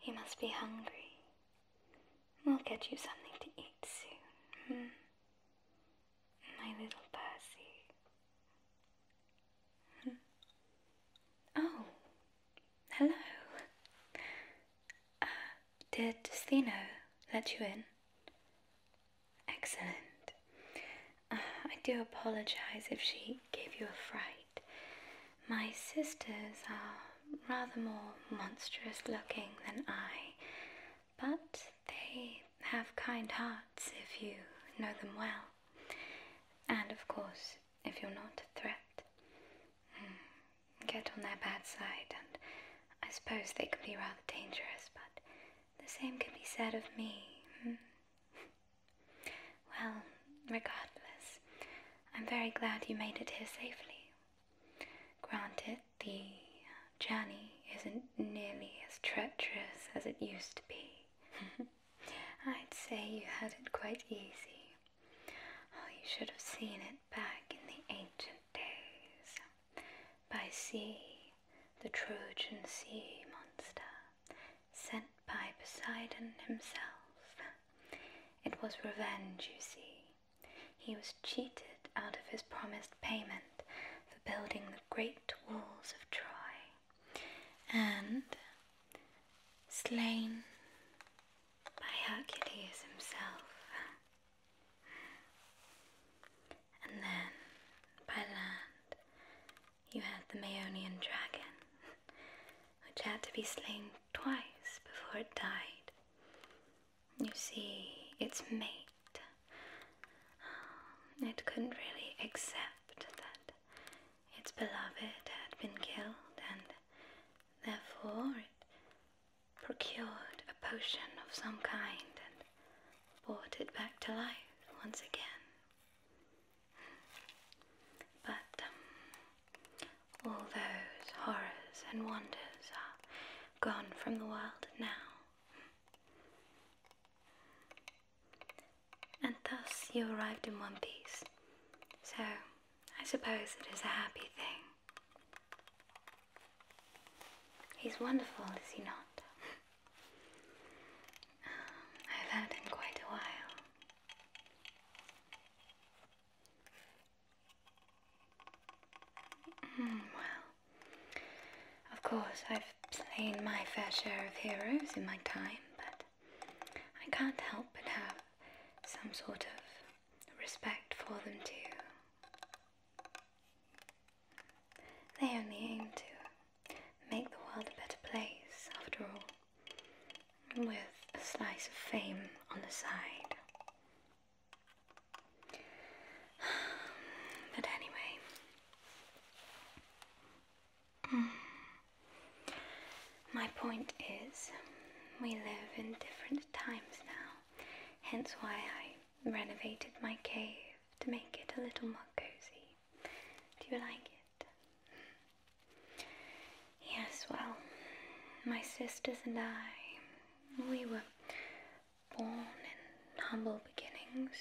He must be hungry. We'll get you something to eat soon. Hmm? my little Percy. oh, hello. Uh, did Stheno let you in? Excellent. Uh, I do apologize if she gave you a fright. My sisters are rather more monstrous looking than I, but they have kind hearts if you know them well. And of course, if you're not a threat, hmm, get on their bad side, and I suppose they can be rather dangerous, but the same can be said of me. Hmm. Well, regardless, I'm very glad you made it here safely. Granted, the journey isn't nearly as treacherous as it used to be. I'd say you had it quite easy. Oh, you should have seen it back in the ancient days. By sea, the Trojan sea monster, sent by Poseidon himself. It was revenge, you see. He was cheated out of his promised payment for building the great walls of Troy and slain by Hercules himself, and then by land you had the Maonian dragon, which had to be slain twice before it died. You see, its mate um, it. couldn't really accept that its beloved had been killed, and therefore it procured a potion of some kind and brought it back to life once again. But um, all those horrors and wonders are gone from the world now. And thus you arrived in one piece. So, I suppose it is a happy thing. He's wonderful, is he not? Um, I've had him quite a while. Hmm, well, of course, I've slain my fair share of heroes in my time, but I can't help but have some sort of respect for them too. They only aim to make the world a better place, after all, with a slice of fame on the side. But anyway, My point is, we live in different times now, hence why I renovated my cave to make it a little more cozy. Do you like it? Yes, well, my sisters and I, we were born in humble beginnings,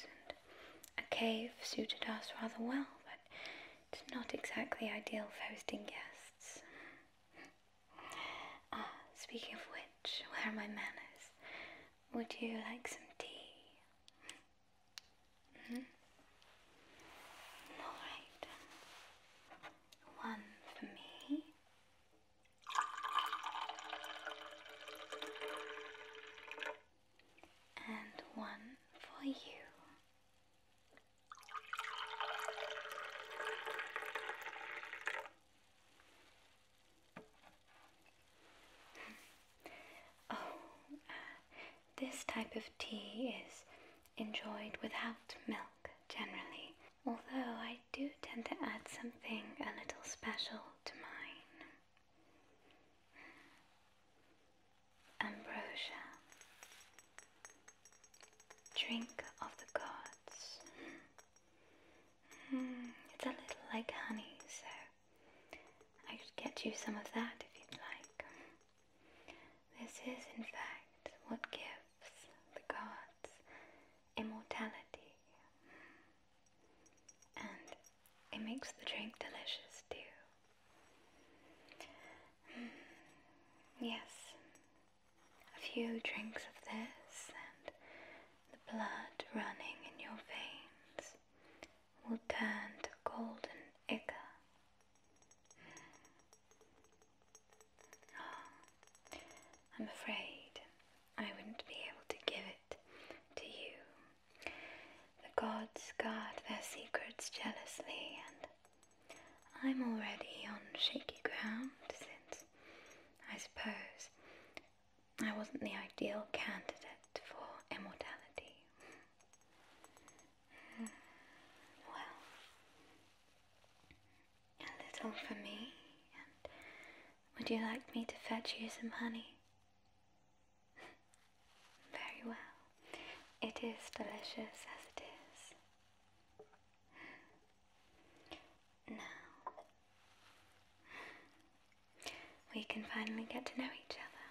a cave suited us rather well, but it's not exactly ideal for hosting guests. Ah, speaking of which, where are my manners? Would you like some tea? -hmm. Alright. One for me and one for you. oh, uh, this type of tea is enjoyed without milk generally, although I do tend to add something a little special to mine. Ambrosia, drink of the gods. Hmm, it's a little like honey, so I could get you some of that if you'd like. This is, in fact, what gives the gods immortality and it makes the drink delicious too. Mm, yes, a few drinks of this and the blood running in your veins will turn to golden ichor. Ah, I'm afraid I wouldn't be able to give it to you the gods guard their secrets jealously, and I'm already on shaky ground since I suppose I wasn't the ideal candidate for immortality. Hmm. well, a little for me, would you like me to fetch you some honey? Very well. It is delicious as it is. Now, we can finally get to know each other.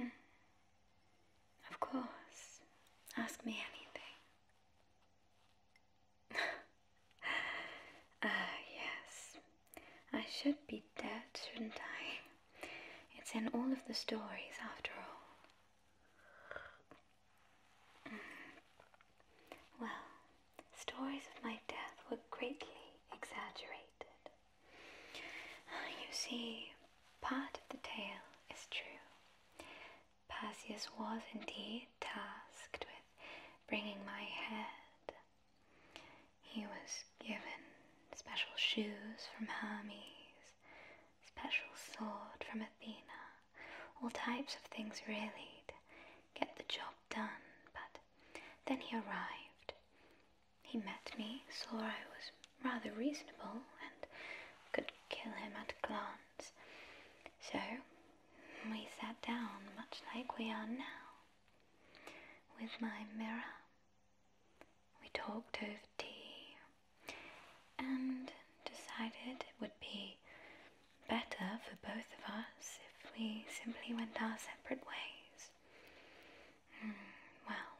Hmm. Of course. Ask me anything ah, yes. I should be dead, shouldn't I? It's in all of the stories, after all. Mm. Well, stories of my death were greatly exaggerated. You see, part of the tale is true. Perseus was indeed tasked with bringing my head. He was given special shoes from Hermes, special sword from Athena, all types of things really to get the job done. But then he arrived. He met me, saw I was rather reasonable, and could kill him at a glance. So we sat down much like we are now, with my mirror. We talked over tea and decided it would be better for both of us if we simply went our separate ways. Hmm, well,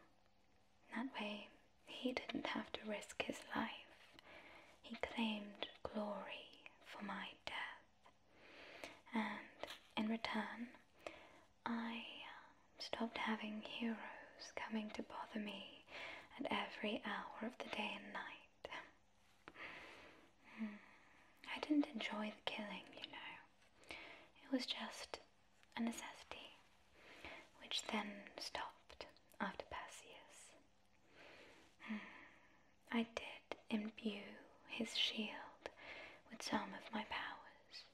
that way he didn't have to risk his life he claimed glory for my death, and in return, I uh, stopped having heroes coming to bother me at every hour of the day and night. Hmm. I didn't enjoy the killing, you know. It was just a necessity, which then stopped after Perseus. I did imbue his shield with some of my powers,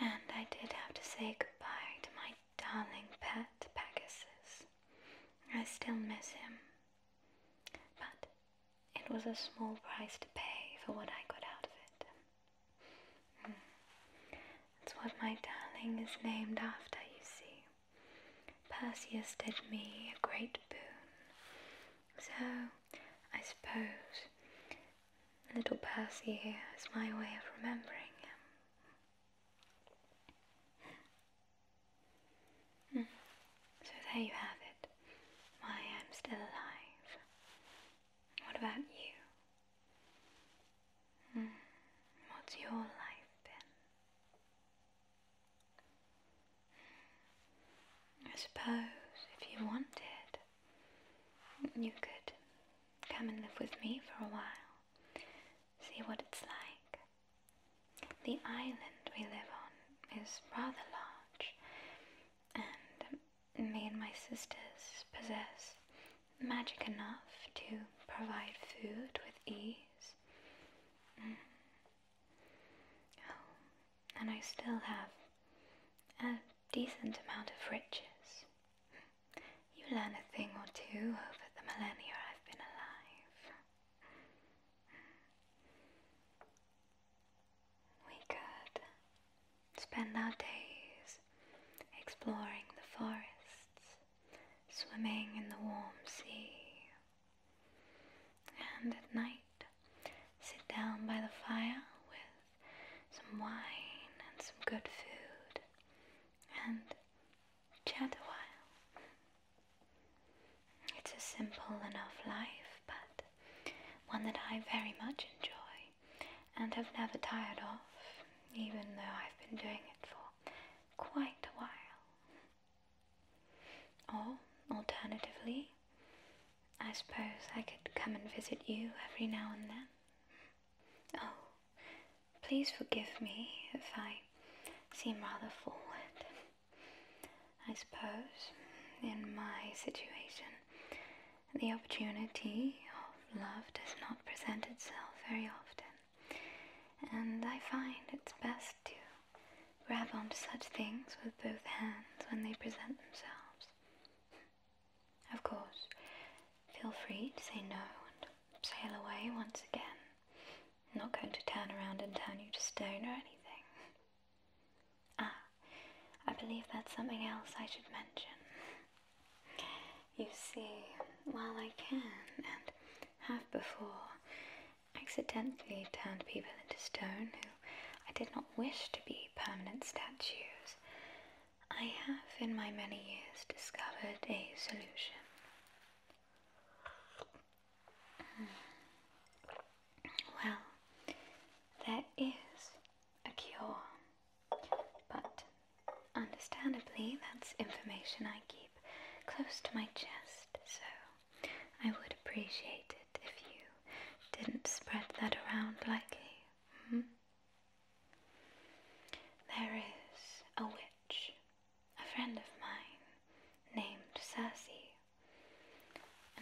and I did have to say goodbye to my darling pet Pegasus. I still miss him, but it was a small price to pay for what I got out of it. Hmm. That's what my darling is named after, you see. Perseus did me a great boon. So, I suppose little Percy is my way of remembering him. Hmm. So there you have it, why I'm still alive. What about you? Hmm. What's your life been? I suppose if you wanted, you could come and live with me for a while, see what it's like. The island we live on is rather large, and me and my sisters possess magic enough to provide food with ease Oh, and I still have a decent amount of riches. You learn a thing or two over the millennia I've been alive. We could spend our days exploring the forests swimming in the warm sea. And at night, sit down by the fire with some wine and some good food and chat a while. It's a simple enough life, but one that I very much enjoy and have never tired of, even though I've been doing it for quite a while. Or, alternatively, I suppose I could come and visit you every now and then. Oh, please forgive me if I seem rather forward. I suppose, in my situation, the opportunity of love does not present itself very often and I find it's best to grab onto such things with both hands when they present themselves. Of course, feel free to say no and sail away once again. I'm not going to turn around and turn you to stone or anything. Ah, I believe that's something else I should mention. You see, while I can and have before accidentally turned people into stone who I did not wish to be permanent statues, I have in my many years discovered a solution. Hmm. Well, there is a cure, but understandably, that's information I keep close to my chest, so I would appreciate it if you didn't spread that around lightly. Mm There is a witch, a friend of mine, named Circe,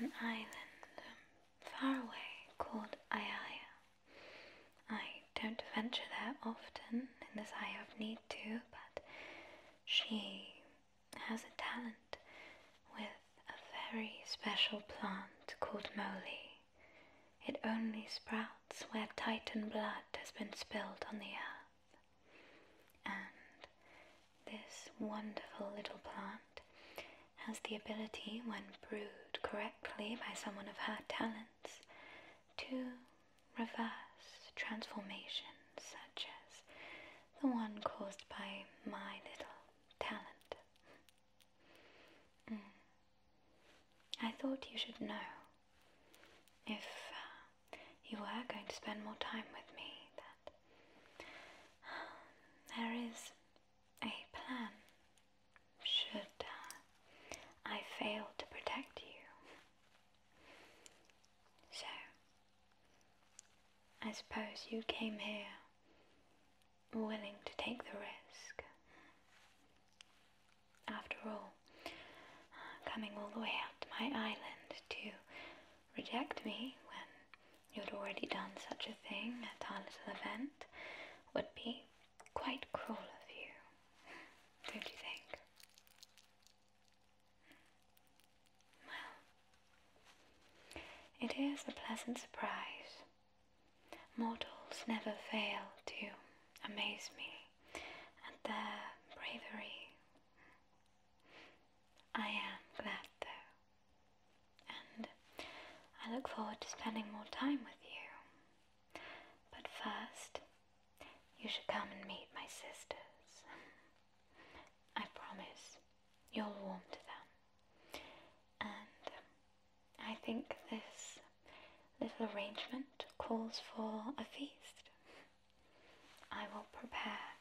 an island far away called Ayaya. I don't venture there often in this eye of need need but she has a talent with a very special plant called moly. It only sprouts where Titan blood has been spilled on the earth. And this wonderful little plant has the ability, when brewed correctly by someone of her talents, to reverse transformation, such as the one caused by my little talent. Mm. I thought you should know. If uh, you were going to spend more time with me, that um, there is a plan. Should uh, I fail to protect you? So, I suppose you came here willing to take the risk. After all, coming all the way out to my island to reject me when you would already done such a thing at our little event would be quite cruel of you, don't you think? Well, it is a pleasant surprise. Mortals never fail to amaze me at their bravery. I am glad though, and I look forward to spending more time with you. But first, you should come and meet my sisters. I promise you'll warm to them. And um, I think this little arrangement calls for a feast. I will prepare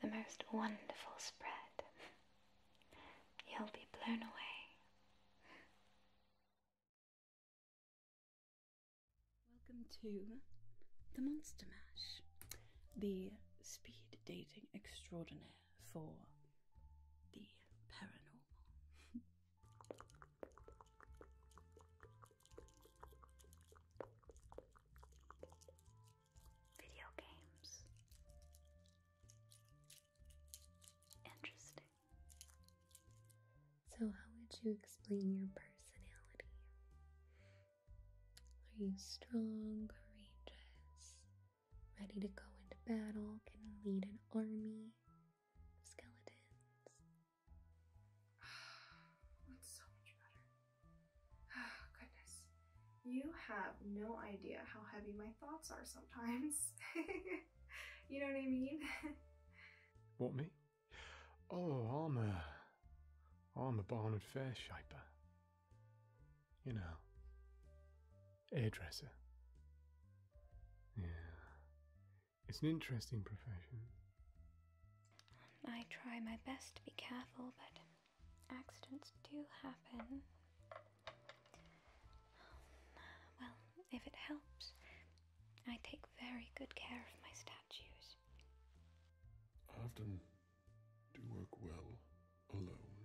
the most wonderful spread. You'll be blown away. Welcome to the Monster Mash, the speed dating extraordinaire for the paranormal. Video games. Interesting. So, how would you explain your personality? Are you strong, courageous, ready to go into battle, can lead an army skeletons? That's so much better. Oh, goodness. You have no idea how heavy my thoughts are sometimes. you know what I mean? what, me? Oh, I'm a, I'm a Barnard Fair shaper. You know, hairdresser. Yeah, it's an interesting profession. I try my best to be careful, but accidents do happen. Well, if it helps, I take very good care of my staff. I often do work well alone.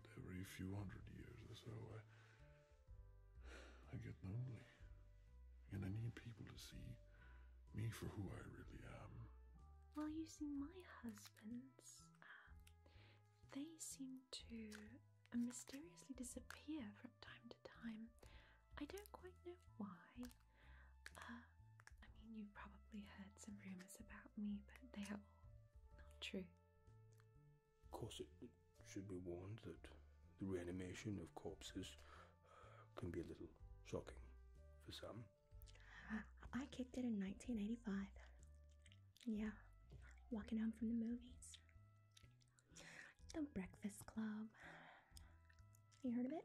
But every few hundred years or so, I, I get lonely. And I need people to see me for who I really am. Well, you see, my husbands, um, they seem to uh, mysteriously disappear from time to time. I don't quite know why. Uh, I mean, you've probably heard some rumours about me, but they are all not true. Of course, it, should be warned that the reanimation of corpses uh, can be a little shocking for some. I kicked it in 1985. Yeah, walking home from the movies. The Breakfast Club. You heard of it?